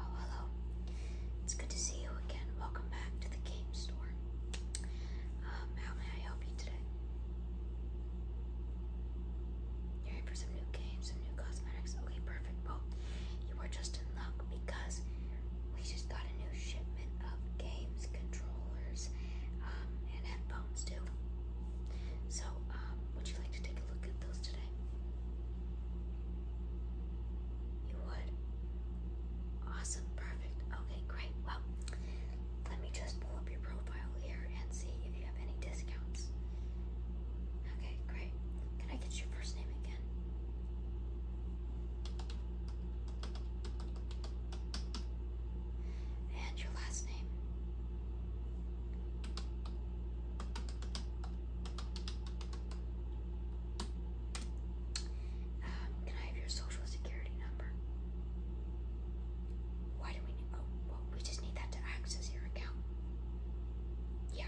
Oh, hello. It's good to see you again. Welcome back to the game store. Um, how may I help you today? You're here for some new games, some new cosmetics. Okay, perfect. Well, you are just in luck because we just got a new shipment of games, controllers, um, and headphones too. So, um, would you like to take a look at those today? You would? Awesome, perfect. Okay, great. Well, let me just pull up your profile here and see if you have any discounts. Okay, great. Can I get your first name again? again. And your last name. Um, can I have your social security number? Why do we need? Oh, well, we just need that to access your account. Yeah.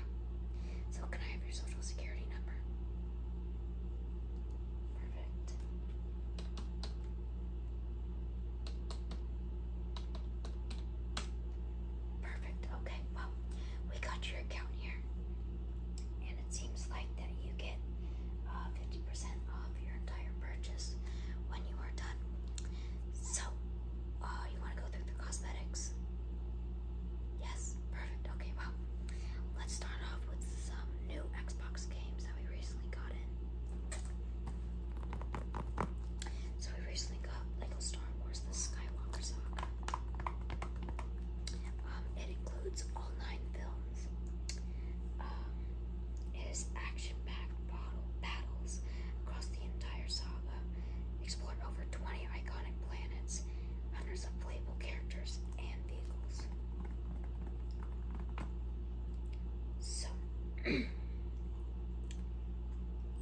So can I have your social security number? Perfect. Perfect. Okay. Well, we got your account here, and it seems like that you get 50% uh, off your entire purchase when you are done. So, uh, you want to go through the cosmetics? Yes, perfect. Okay, well, let's start off with some new Xbox games that we recently got in. So we recently got Lego Star Wars: The Skywalker Saga. Um, it includes all nine films. Um, it is action-packed battles across the entire saga, explore over 20 iconic planets, hundreds of playable characters, and vehicles. So,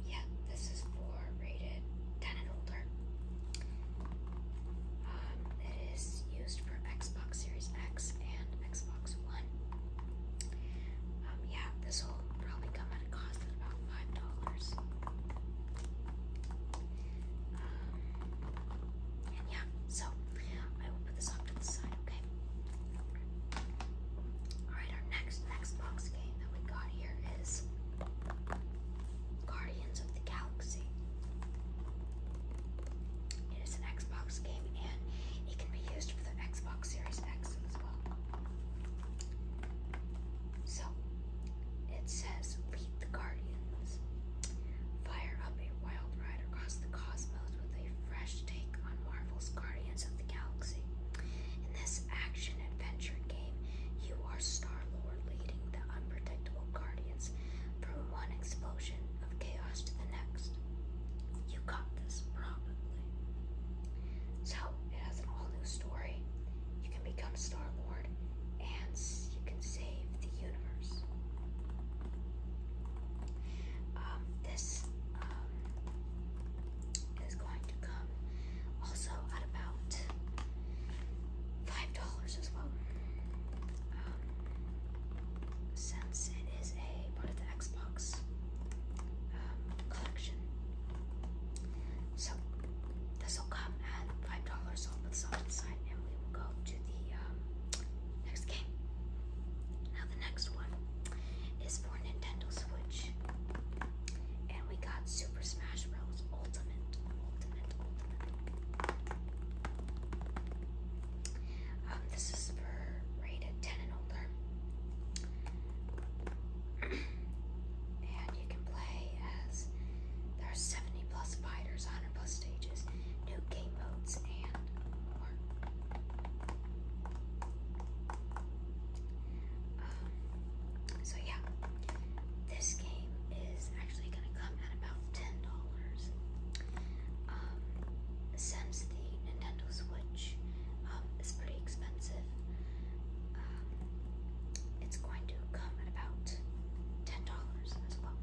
yeah, this is for rated 10 and older. Um, it is used for Xbox Series X and Xbox One. Um, yeah, this whole probably come at a cost of about five dollars. Um, and yeah, so I will put this off to the side, okay? Alright, our next next box game that we got here is Guardians of the Galaxy. It is an Xbox game and it can be used for the Xbox Series X as well. So it says, Lead the Guardians. Fire up a wild ride across the cosmos with a fresh take on Marvel's Guardians of the Galaxy. In this action adventure game, you are Star Lord leading the unpredictable Guardians from one explosion of chaos to the next. You got this, probably. So, it has an all-new story. You can become Star-Lord, and you can save the universe. Um, this um, is going to come also at about $5 as well. Um, since it is a part of the Xbox um, collection. So this will come at five dollars on the side, and we will go to the um, next game. Now the next one is for Nintendo Switch, and we got Super Smash Bros. Ultimate, um, this is for rated ten and older. And you can play as there are 70 plus fighters, 100 plus stages, new game modes, and more. Um, so yeah, this game is actually going to come at about $10. Um, since the Nintendo Switch um, is pretty expensive, expensive. Um, it's going to come at about ten dollars as well.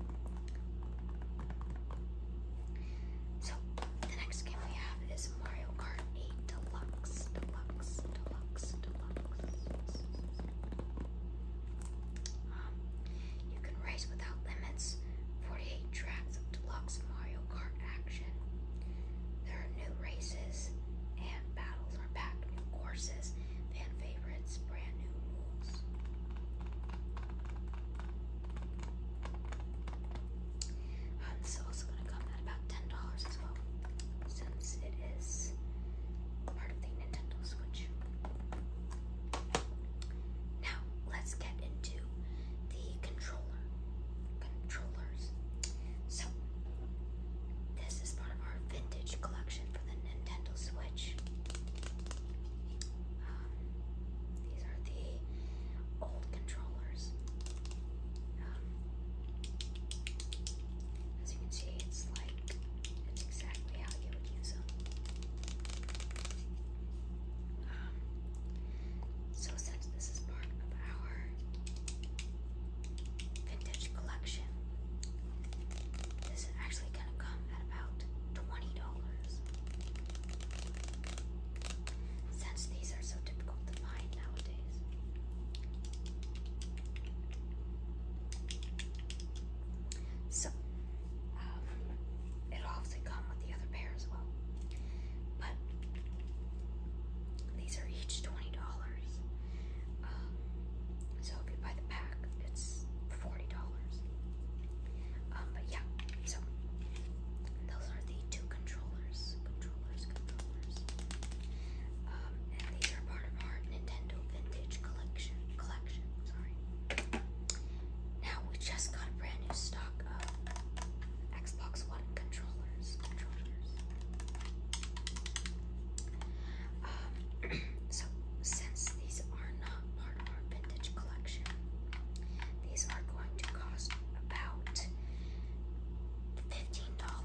So the next game we have is Mario Kart 8 Deluxe, Deluxe, Deluxe, Deluxe. Um, you can race without limits. 48 tracks of deluxe Mario Kart action. There are new races and battles are packed, new courses, fan favorites, brand new rules. this is also going to come at about $10 as well, since it is part of the Nintendo Switch. Now, let's get into the controller controllers. So, this is part of our vintage collection for the Nintendo Switch. Um, these are the old controllers. Um, as you can see, it's like it's exactly how you would use them. Um, so, this is part of our vintage collection. This is actually going to come at about $20. Since these are so difficult to find nowadays. So, um, it'll obviously come with the other pair as well. But these are each twenty dollars. Um, so if you buy the pack, it's forty dollars. Um, but yeah, so those are the two controllers, controllers, controllers. Um, and these are part of our Nintendo Vintage Collection. Collection, sorry. Now we just got a brand new stock stock of Xbox One controllers. Controllers. Um, so since these are not part of our vintage collection, these are going to cost about fifteen dollars.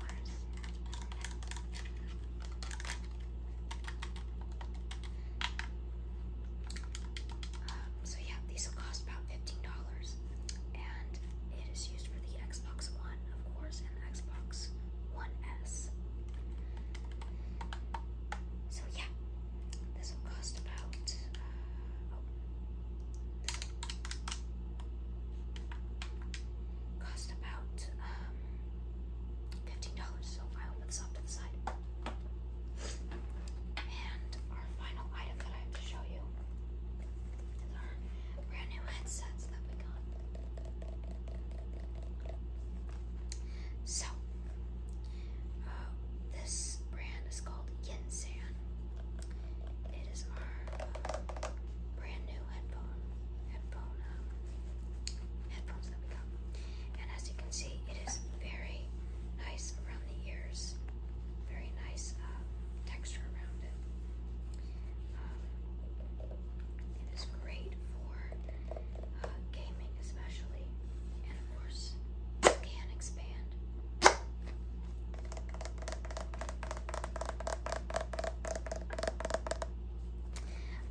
Um, so yeah, these will cost about fifteen dollars, and it is used for the Xbox One, of course, and the Xbox One S. So yeah, this will cost about. Uh, oh, cost about um, $15, so I'll put this off to the side. And our final item that I have to show you is our brand new headsets that we got. So, uh, this brand is called Yinsan. It is our uh, brand new headphone, headphone, um, headphones that we got. And as you can see, it is very nice around the ears. Very nice uh, texture around it. Um, it is great for uh, gaming, especially, and of course, can expand.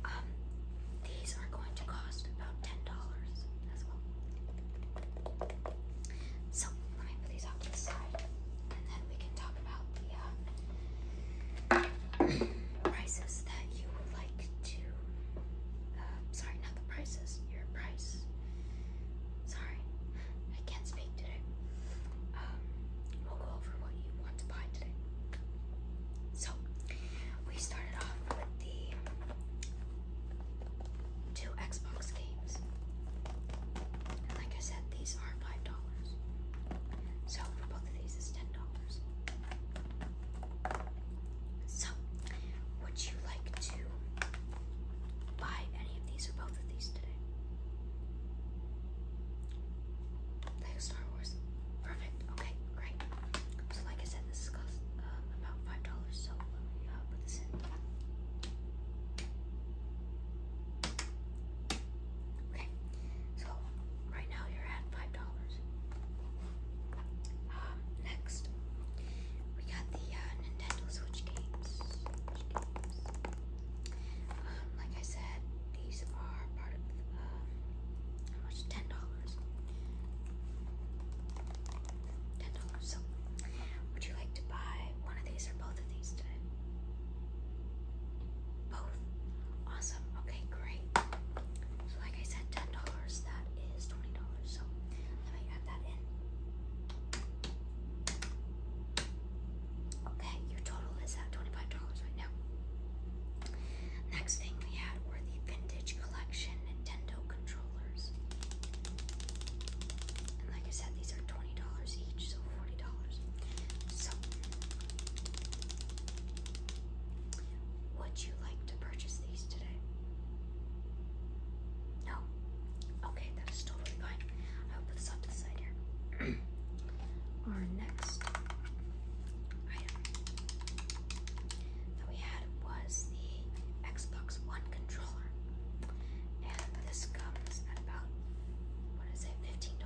Um, these are going to cost about ten dollars. So let me put these off to the side, and then we can talk about the uh, prices that you would like to. Uh, sorry, not the prices. Your price. Sorry, I can't speak today. Um, we'll go over what you want to buy today. So we started off with the two Xbox games. like I said, these are five dollars. So for both of these, is ten dollars. So, would you like to buy any of these or both of these today? Lego Star Wars. Perfect. Okay. Great. So, like I said, this costs um, about five dollars. So let me uh, put this in. Okay. So right now you're at five dollars. Um, next we got the uh, Nintendo Switch games. Switch games. Um, like I said, these are part of um, how much? Ten dollars. Ten dollars. So, would you like to buy one of these or both of these today? Both. Awesome. Okay, great. So, like I said, ten dollars. That is twenty dollars. So, let me add that in. Okay, your total is at $25 right now. Next thing we had were the vintage collection $10 Nintendo controllers. like I said, these are $20 each, so $40. So, would you like to purchase these today? No? Okay, that is totally fine. I'll put this off to the side here. Our next item that we had was the Xbox One controller. And this comes at about, what is it, $15.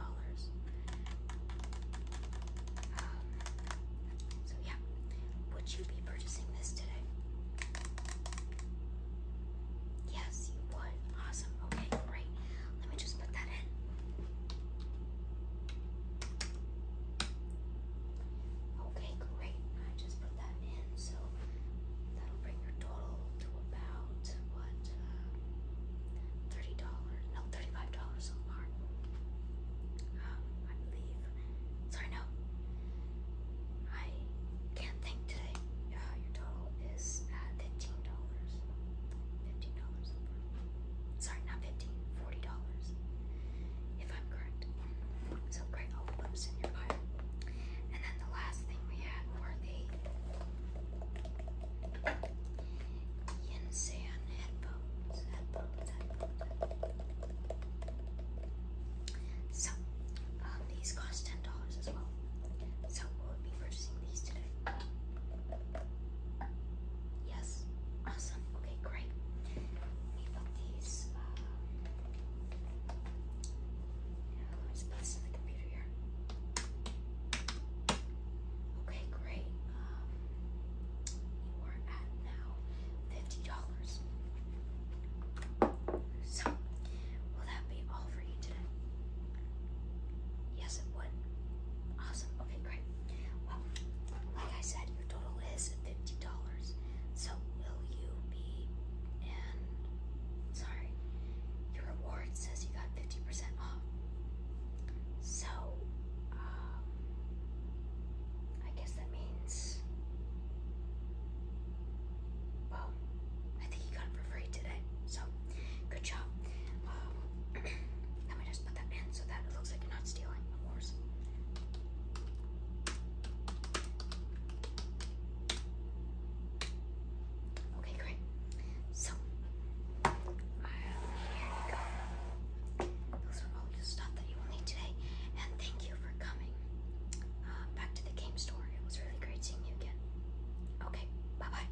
Um, so yeah, would you be purchasing this today? Yes, you would. Awesome. Okay, great. Let me just put that in. Okay, great. I just put that in, so that'll bring your total to about what uh, thirty dollars? No, thirty-five dollars so far. Um, I believe. Sorry, no. I can't think today. Uh, your total is at fifteen dollars. Fifteen dollars so far. Sorry, not 15 $40 if I'm correct. So great, all the bumps in your pile. And then the last thing we had were the Yin San headphones. Headphones, headphones, headphones. So, um, these cost $10 as well. So, we'll be purchasing these today. Yes. Awesome. Okay, great. Let me these. Uh, let's put in the computer here. Okay, great. you um, are at now fifty dollars. So, will that be all for you today? Yes, it would. Awesome. Okay, great. Well, like I said, your total is fifty dollars. So will you be? And sorry, your reward says you got fifty percent off. So, um, I guess that means. Well, I think you got for free today. So, good job. Um, let me just put that in so that it looks like you're not stealing, of course. Okay, great. So, here you go. Those are all the stuff that you will need today, and thank you for coming uh, back to the game store. It was really great seeing you again. Okay, bye bye.